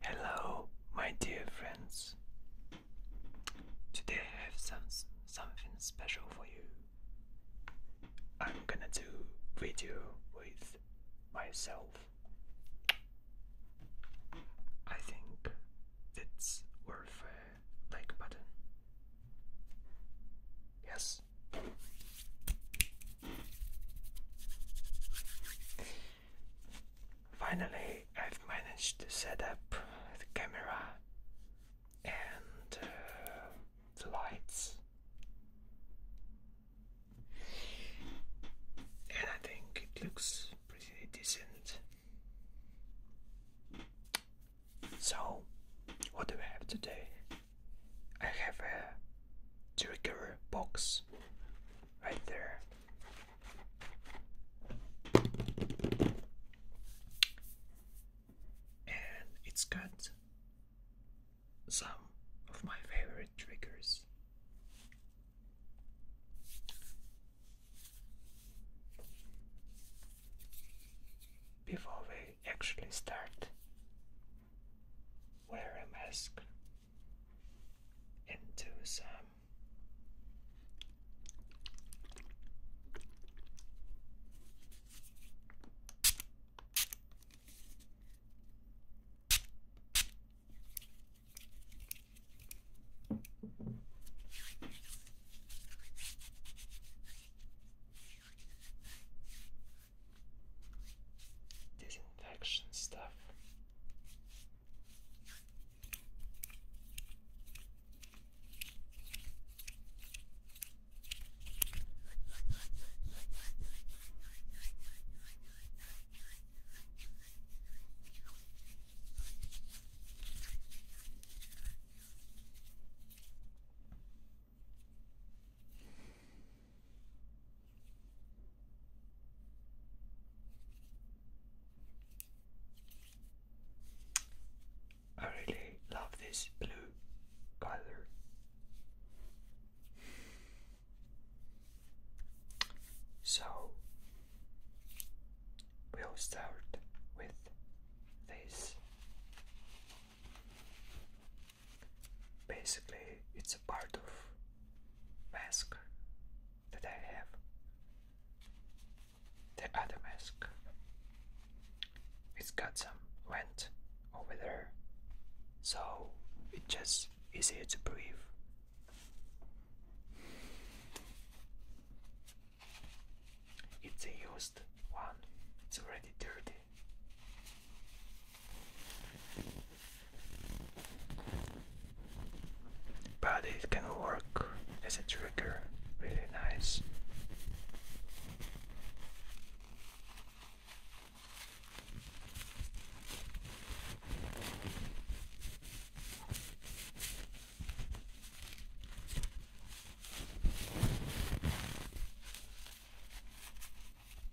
Hello, my dear friends. Today I have some something special for you. I'm gonna do video with myself. I think that's worth a like button. Yes. Finally, I've managed to set up the camera and uh, the lights, and I think it looks pretty decent. So, what do we have today? I have a trigger box right there. And it's got some of my favorite triggers. Before we actually start, wear a mask into some disinfection stuff. I really love this blue color. So we'll start with this. Basically, it's a part of mask that I have. The other mask. It's got some vent over there, so it just easier to breathe. It's a used one, it's already dirty. But it can work as a trigger really nice.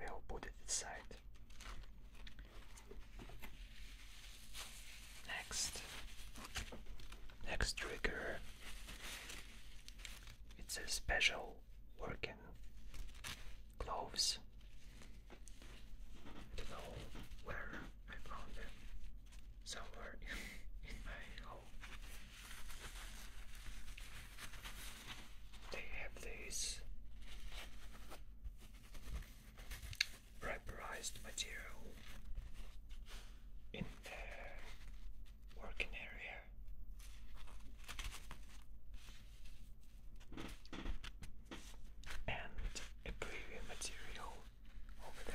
We'll put it aside. Next, next trigger. It's a special workout cloves. don't know where I found them. Somewhere in, my home. They have this rubberized material in the working area and a preview material over there.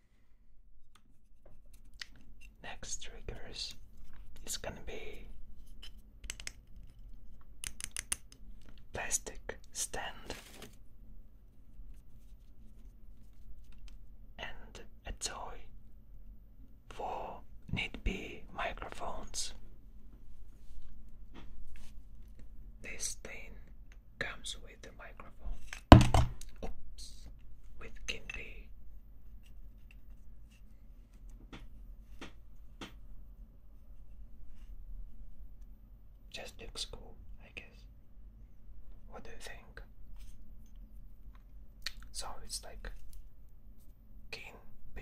Next triggers is gonna be plastic stand and a toy for need be microphones. This thing comes with the microphone. Oops, with Kindy. Just looks cool, I guess. What do you think? So it's like King B.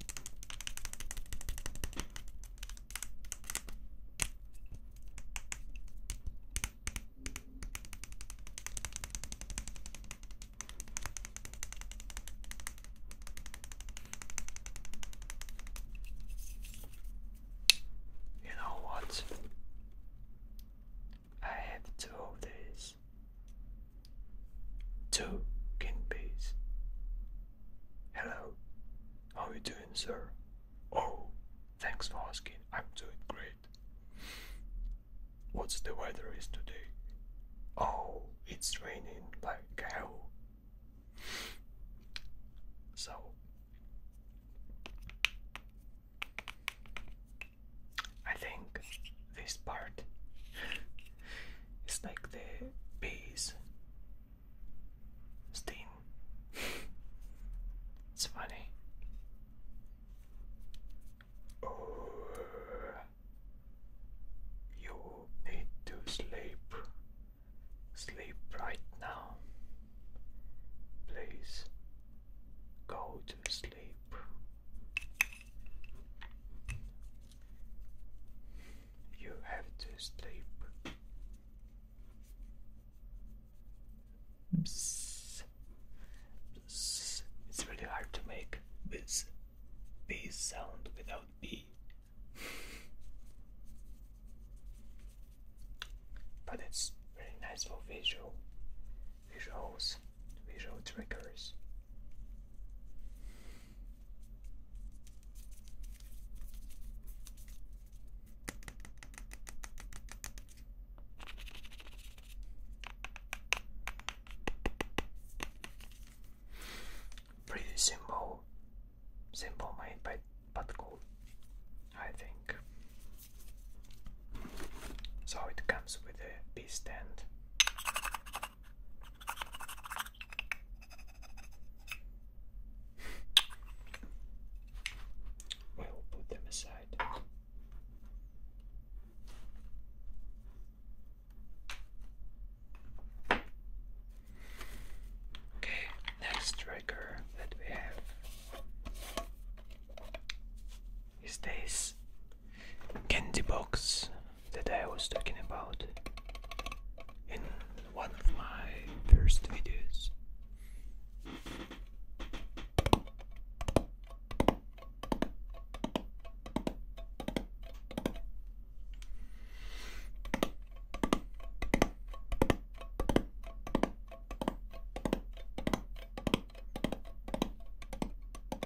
You know what? I have two of these. Two guinea pigs. Hello, how are you doing, sir? Oh, thanks for asking. I'm doing great. What's the weather is today? Oh, it's raining like hell. So, I think this part it's like the bees. stain. it's funny. Oh, you need to sleep. Sleep right now. Please go to sleep. You have to sleep. Bzz. Bzz. It's really hard to make this B sound without B. but it's really nice for visual visuals, visual triggers. Pretty simple, simple made but cool, I think. So it comes with a B stand we will put them aside. Okay, next trigger that we have is this candy box that I was talking about in one of my first videos.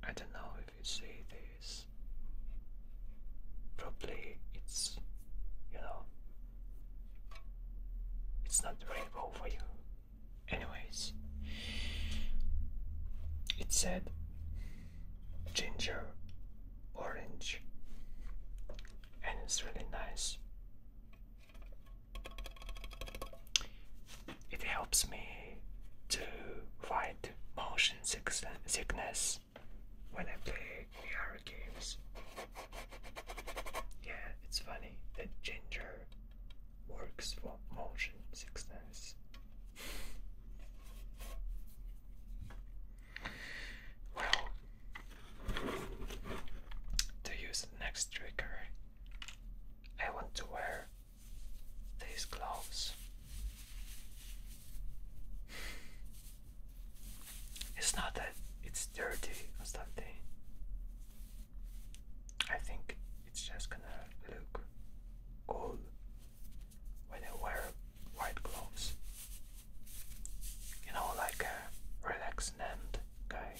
I don't know if you see this. Probably it's, you know, it's not the rainbow for you. Anyways, it said ginger orange, and it's really nice. It helps me to fight motion sickness when I play VR games. Yeah, it's funny that ginger works for motion sickness. Well, to use next trigger, I want to wear these gloves. It's not that it's dirty or something. I think it's just gonna look cool when I wear white gloves. You know, like a relaxed and guy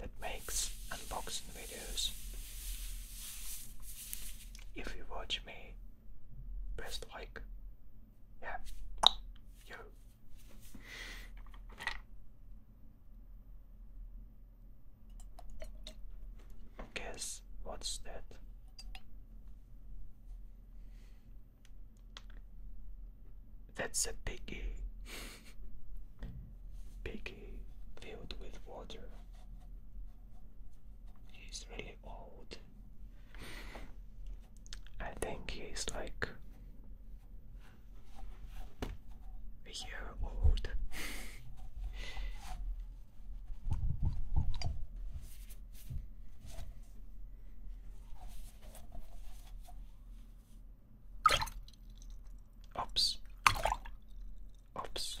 that makes unboxing videos. If you watch me, press like. Yeah, you Guess what's that? That's a piggy. piggy filled with water. He's really old. I think he's like a year old. Oops. Oops.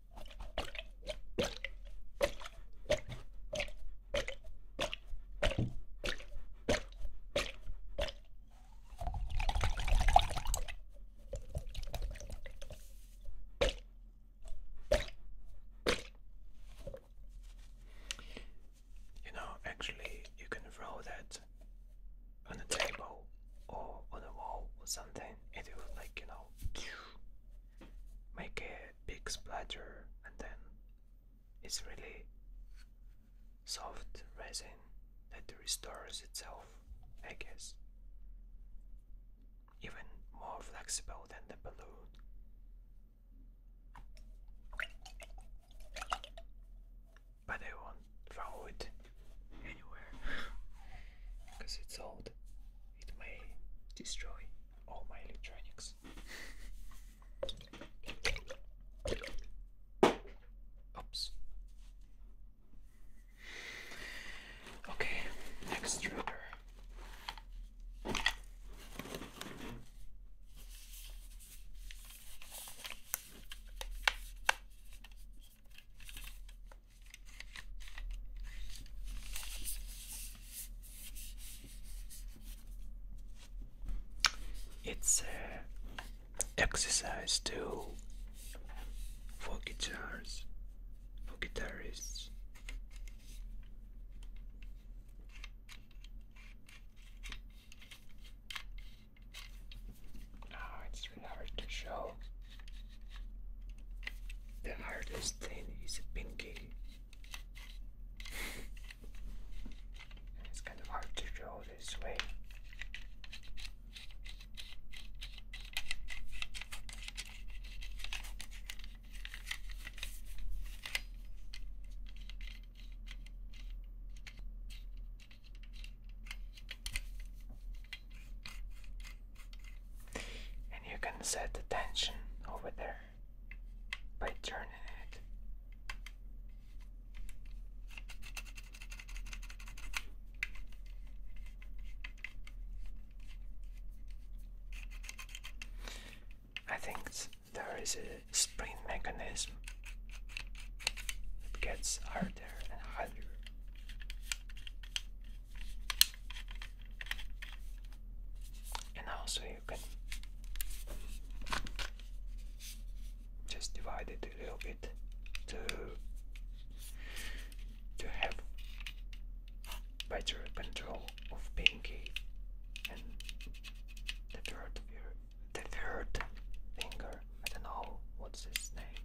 You know, actually, you can throw that on a table or on a wall or something, it will like you know make a big splatter, and then it's really soft resin that restores itself, I guess. Even more flexible than the balloon. But I won't throw it anywhere because it's old. It may destroy all my electronics. Oops. Okay, next it's uh, exercise too for guitars, for guitarists. Oh, ah, it's just remember to show the hardest thing is pinky. it's kind of hard to show this way. And you can set the tension over there by turning it. I think there is a spring mechanism. that gets harder and harder and also you can just divide it a little bit to to have better control of pinky and the third the third finger. I don't know what's his name.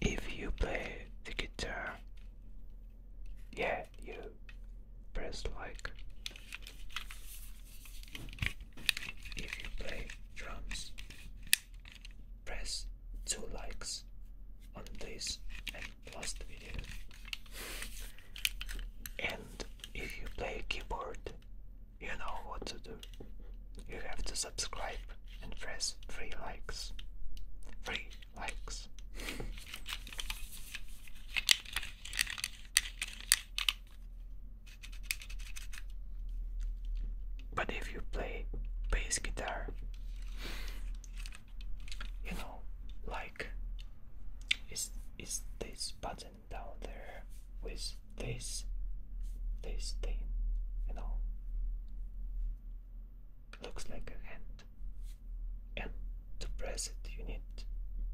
If you play the guitar, yeah, you press like. If you play drums, press two likes on this last video. And if you play keyboard, you know what to do. You have to subscribe and press 3 likes. 3 likes. But if you play bass guitar, you know, like is is this button down there with this this thing, you know? Looks like a hand. And to press it you need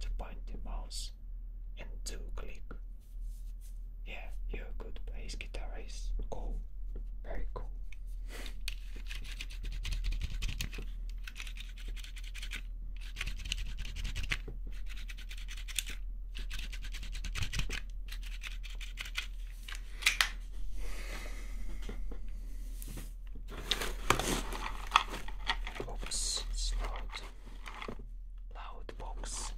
to point the mouse and to click. Yeah, you could play guitar is cool. Very cool. Oops, it's not loud box.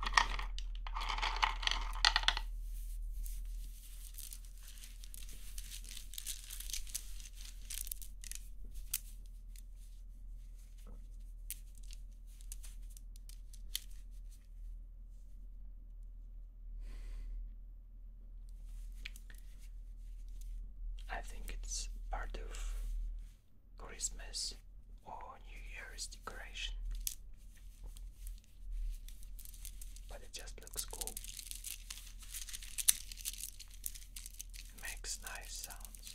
I think it's part of Christmas or New Year's decoration, but it just looks cool makes nice sounds.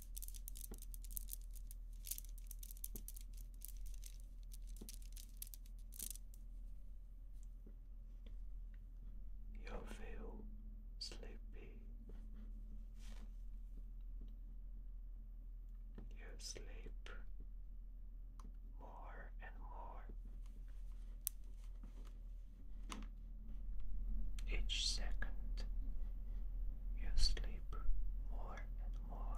You feel sleepy. You sleep more and more. Each second you sleep sleep more and more.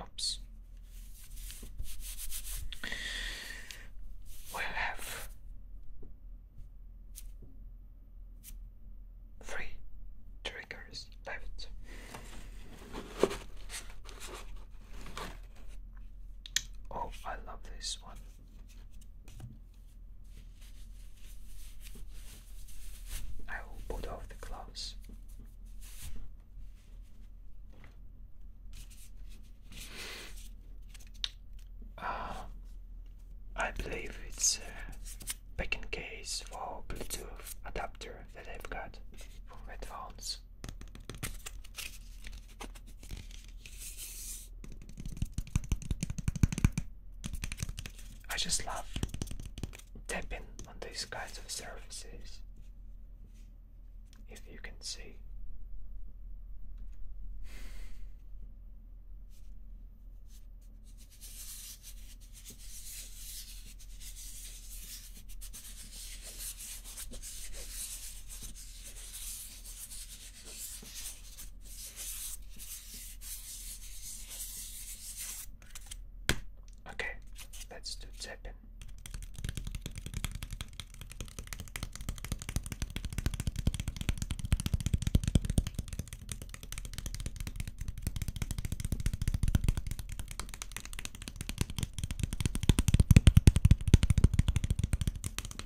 Oops. We have three triggers left. Oh, I love this one. I will put off the gloves. Uh, ah, I believe it's a packing case for Bluetooth adapter that I've got for headphones. I just love dipping on these kinds of surfaces. If you can see. Okay, let's do tapping.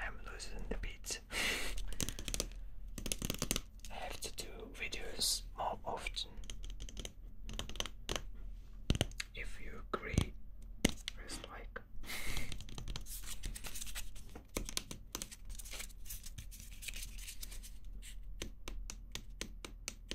I'm losing the beat. I have to do videos more often. If you agree, press like.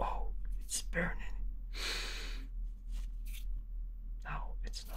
Oh, it's burning. No, it's not.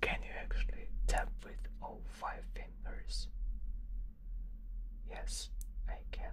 Can you actually tap with all five fingers? Yes, I can.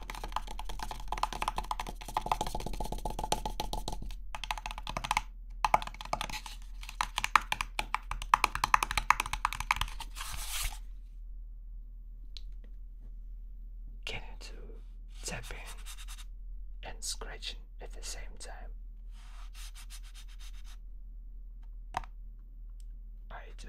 Get into tapping and scratching at the same time. I do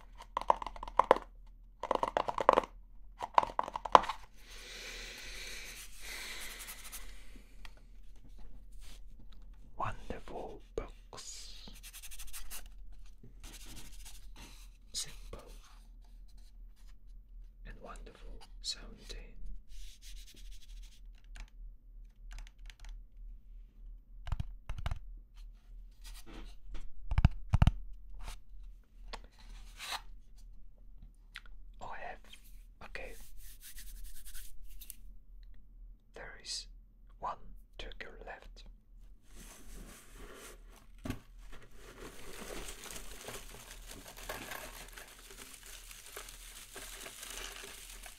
Wonderful books. Simple and wonderful sounding. Oh, Okay. There is one turkey left.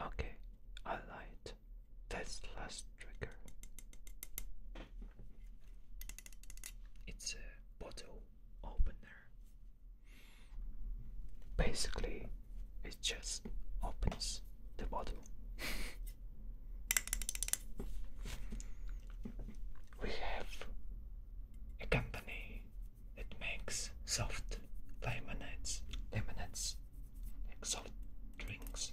Okay, I lied. That's last trigger. It's a bottle opener. Basically, it just opens the bottle. we have a company it makes soft lemonades, lemonades, like drinks.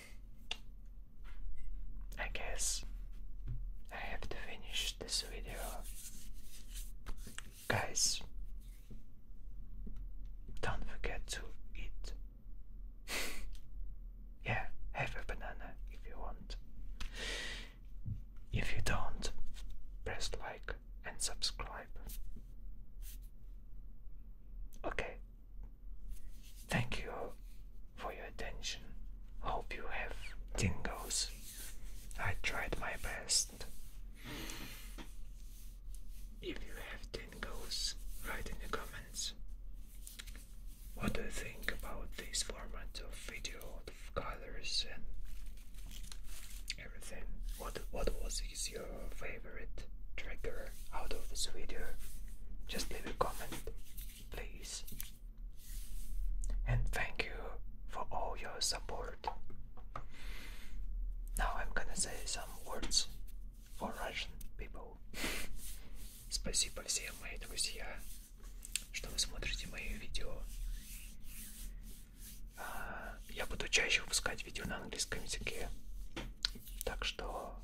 I guess I have to finish this video. Guys, don't forget to eat. yeah, have a banana if you want. If you don't, press like and subscribe. Okay, Thank you for your attention. Hope you have tingles. I tried my best. If you have tingles, write in the comments. What do you think about this format of video of colors and everything? What what was your favorite trigger out of this video? Just leave a comment. please. And thank you for all your support. Now I'm gonna say some words for Russian people. Спасибо всем, мои друзья, что вы смотрите мои видео. А, я буду чаще выпускать видео на английском языке, так что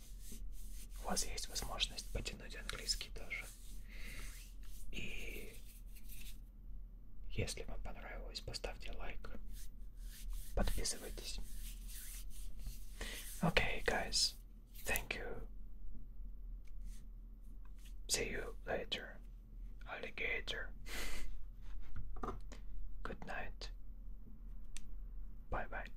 у вас есть возможность натянуть английский тоже. И если вам понравилось, поставьте лайк. Подписывайтесь. Okay, guys. Thank you. See you later, alligator. Good night. Bye bye.